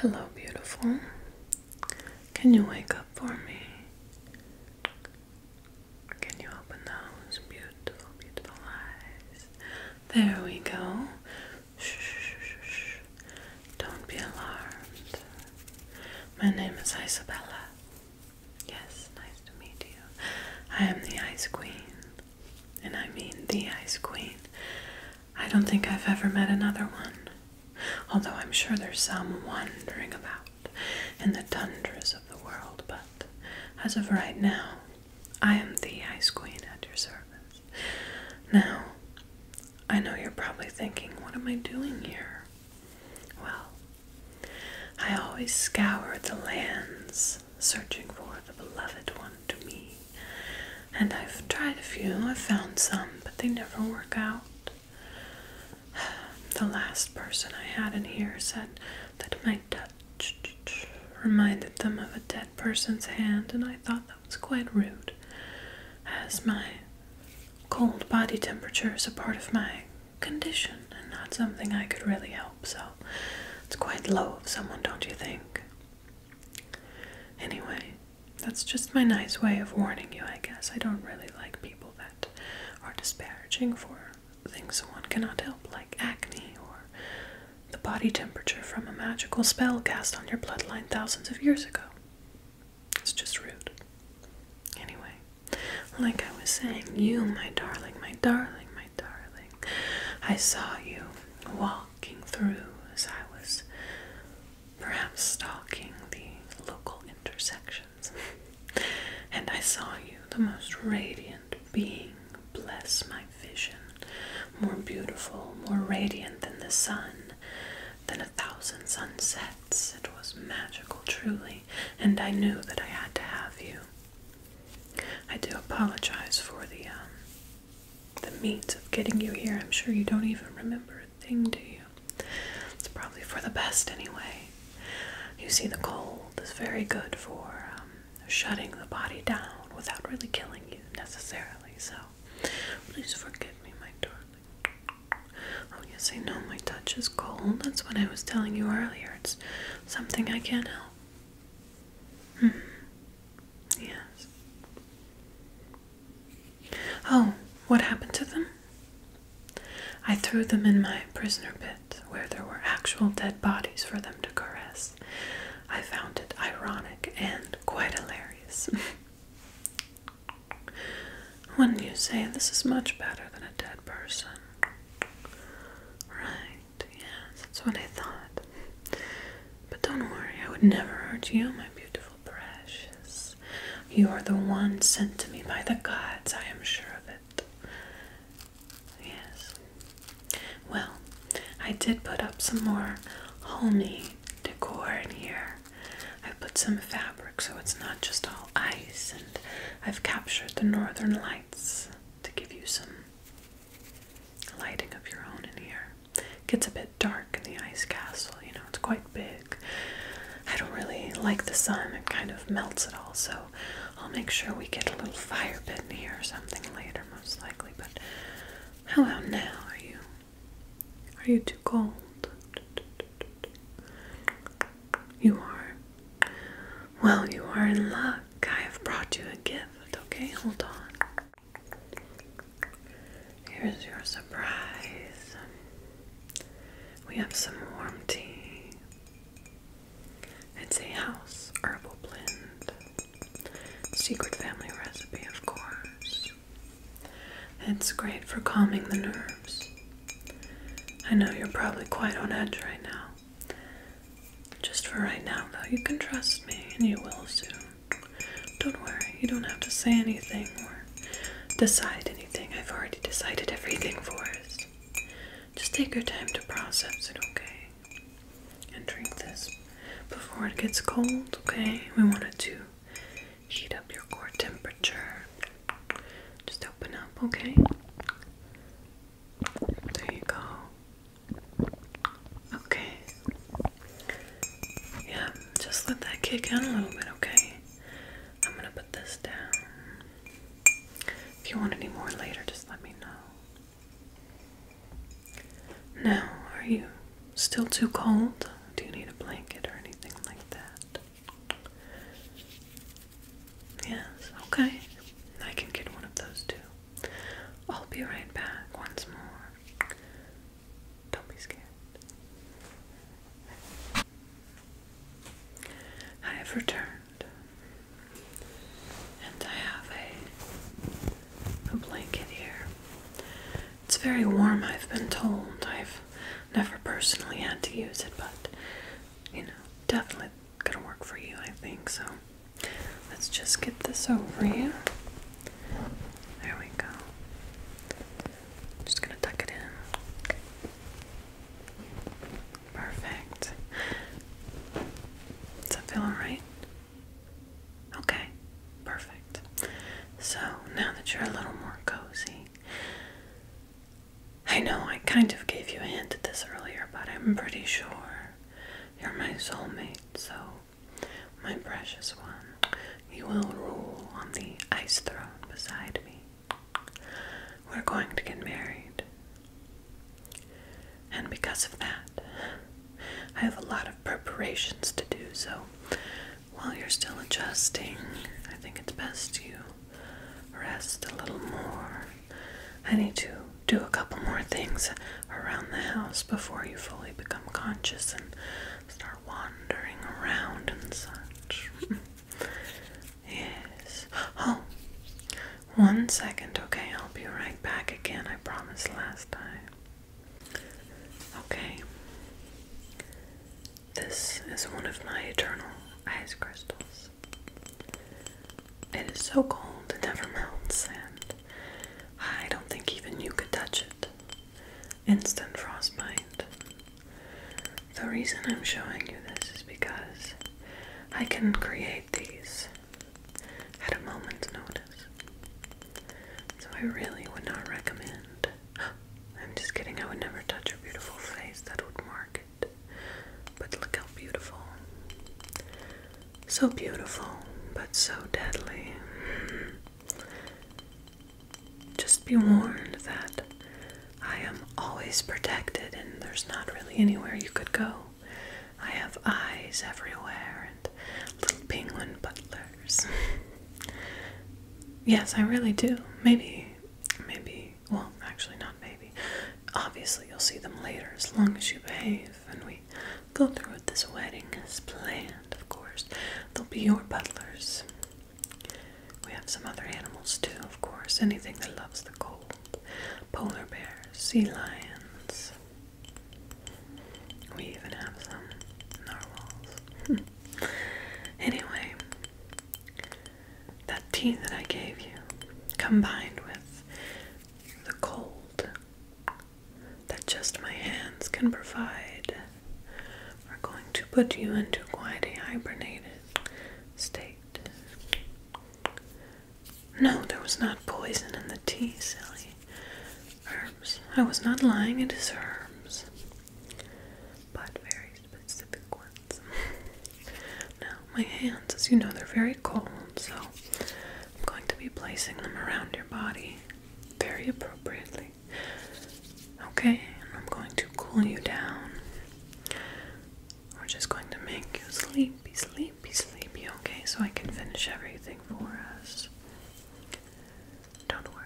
Hello, beautiful. Can you wake up for me? Can you open those beautiful, beautiful eyes? There we go. Shh, shh, shh, Don't be alarmed. My name is Isabella. Yes, nice to meet you. I am the Ice Queen and I mean the Ice Queen, I don't think I've ever met another one, although I'm sure there's some wandering about in the tundras of the world, but as of right now, I am the Ice Queen at your service. Now, I know you're probably thinking, what am I doing here? Well, I always scour the lands searching for the beloved one to me. And I've tried a few, I've found some, but they never work out. The last person I had in here said that my touch reminded them of a dead person's hand, and I thought that was quite rude, as my cold body temperature is a part of my condition and not something I could really help so it's quite low of someone, don't you think? Anyway, that's just my nice way of warning you, I guess. I don't really like people that are disparaging for things one cannot help, like acne or the body temperature from a magical spell cast on your bloodline thousands of years ago. It's just rude. Anyway, like I was saying, you, my darling, my darling, my darling. I saw you walking through as I was perhaps stalking the local intersections, and I saw you, the most radiant being, bless my vision, more beautiful, more radiant than the sun, than a thousand sunsets. It was magical, truly, and I knew that I had to have you. I do apologize for the um, the means of getting you here. I'm sure you don't even remember a thing, do you? It's probably for the best anyway. You see, the cold is very good for um, shutting the body down without really killing you necessarily. So, please forgive me, my darling. Oh yes, I know my touch is cold. That's what I was telling you earlier. It's something I can't help. -hmm. Yes. Oh, what happened to them? I threw them in my prisoner pit where there were actual dead bodies for them to caress. I found it ironic and quite hilarious. Wouldn't you say this is much better than a dead person? Right, yes, that's what I thought. But don't worry, I would never hurt you, my beautiful precious. You are the one sent to me by the gods, I am sure of it. Yes. Well, I did put up some more homey decor in here. I put some fabric so it's not just all ice, and I've captured the northern lights to give you some lighting of your own in here. It gets a bit dark in the ice castle, you know, it's quite big. I don't really like the sun, it kind of melts it all, so I'll make sure we get a little fire pit in here or something later, most likely. But how about now? Are you are you too cold? You are. Well, you are in luck. I have brought you a gift. Okay, hold on. Here's your surprise. We have some warm tea. It's a house herbal blend. Secret family recipe, of course. It's great for calming the nerves. I know you're probably quite on edge right now. Just for right now, though, you can trust me and you will soon. Don't worry, you don't have to say anything or decide anything. I've already decided everything for us. Just take your time to process it, okay? And drink this before it gets cold, okay? We want it to heat up your core temperature. Just open up, okay? There you go. Okay. Yeah, just let that kick in a little bit, okay? I'm gonna put this down. If you want any more later, just let me know. Now, are you still too cold? Do you need a blanket or anything like that? Yes, okay. I can get one of those too. I'll be right back once more. Don't be scared. I have returned, and I have a, a blanket here. It's very warm, I've been told. I've never personally had to use it, but you know, definitely gonna work for you, I think. So let's just get this over you. There we go. Just gonna tuck it in. Perfect. Does that feel alright? Okay, perfect. So now that you're a little more cozy, I know I kind of gave you a hint at this earlier, but I'm pretty sure you're my soulmate, so my precious one, you will rule on the ice throne beside me. We're going to get married. And because of that, I have a lot of preparations to do, so while you're still adjusting, I think it's best you rest a little more. I need to do a couple more things around the house before you fully become conscious and start wandering around and such. yes. Oh, one second, okay? I'll be right back again. I promised last time. Okay. This is one of my eternal ice crystals. It is so cold it never melts, and I don't think even you could touch it. Instant frostbite. The reason I'm showing you this is because I can create these at a moment's notice. So I really would not recommend. I'm just kidding, I would never touch a beautiful face, that would mark it. But look how beautiful. So beautiful, but so deadly. Just be warned that I am always protected, and there's not really anywhere you could go. I have eyes everywhere, and little penguin butlers. yes, I really do. Maybe, maybe, well, actually, not maybe. Obviously, you'll see them later as long as you behave and we go through with this wedding as planned, of course. They'll be your butlers. We have some other animals too, of course. Anything that loves the cold. Polar bears, sea lions, we even have some narwhals. anyway, that tea that I gave you, combined with the cold that just my hands can provide, are going to put you into quite a hibernated state. No, there was not poison in the tea, silly. Herbs. I was not lying, in it is herbs. But very specific ones. now, my hands, as you know, they're very cold, so I'm going to be placing them around your body very appropriately. Okay, and I'm going to cool you down. We're just going to make you sleepy, sleepy sleepy, sleepy, okay? So I can finish everything for us. Don't worry.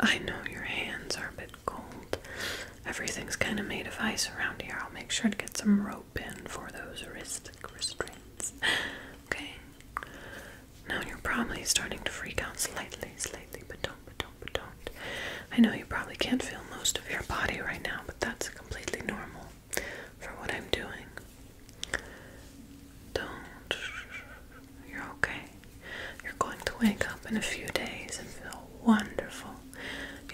I know your hands are a bit cold. Everything's kind of made of ice around here. I'll make sure to get some rope in for those wrist restraints. Okay. Now you're probably starting to freak out slightly, slightly, but don't, but don't, but don't. I know you probably can't feel most of your body right now, but that's completely normal for what I'm doing. Don't. You're okay. You're going to wake up in a few days and feel wonderful.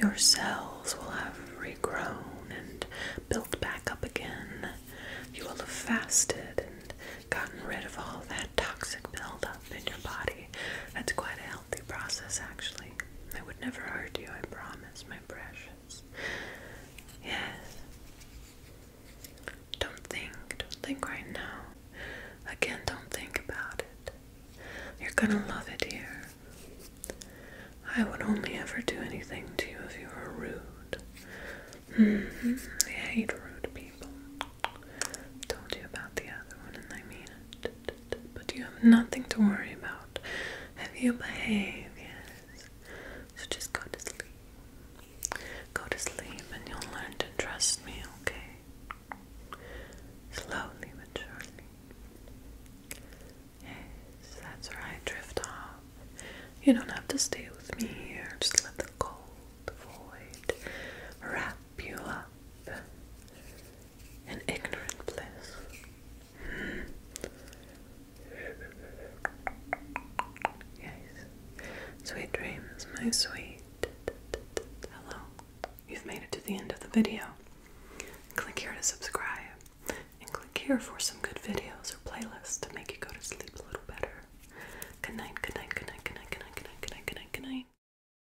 Your cells will have regrown and built back up again. You will have fasted and gotten rid of all that toxic buildup in your body. That's quite a healthy process, actually. I would never hurt you, I promise, my precious. Yes. Don't think, don't think right now. Again, don't think about it. You're gonna love it here. I would only ever do anything to you if you were rude. Mm-hmm. I hate rude people. Told you about the other one, and I mean it. But you have nothing to worry about. Have you behave? Yes. So just go to sleep. Go to sleep and you'll learn to trust me, okay? Slowly but surely. Yes, that's right. Drift off. You don't have to stay with me here. Just let the cold void wrap you up an ignorant place. yes. Sweet dreams, my sweet. Hello. You've made it to the end of the video. Click here to subscribe. And click here for some good videos or playlists to make you go to sleep a little better. Good night, good night, good night, good night, good night, good night, good night, good night, good night.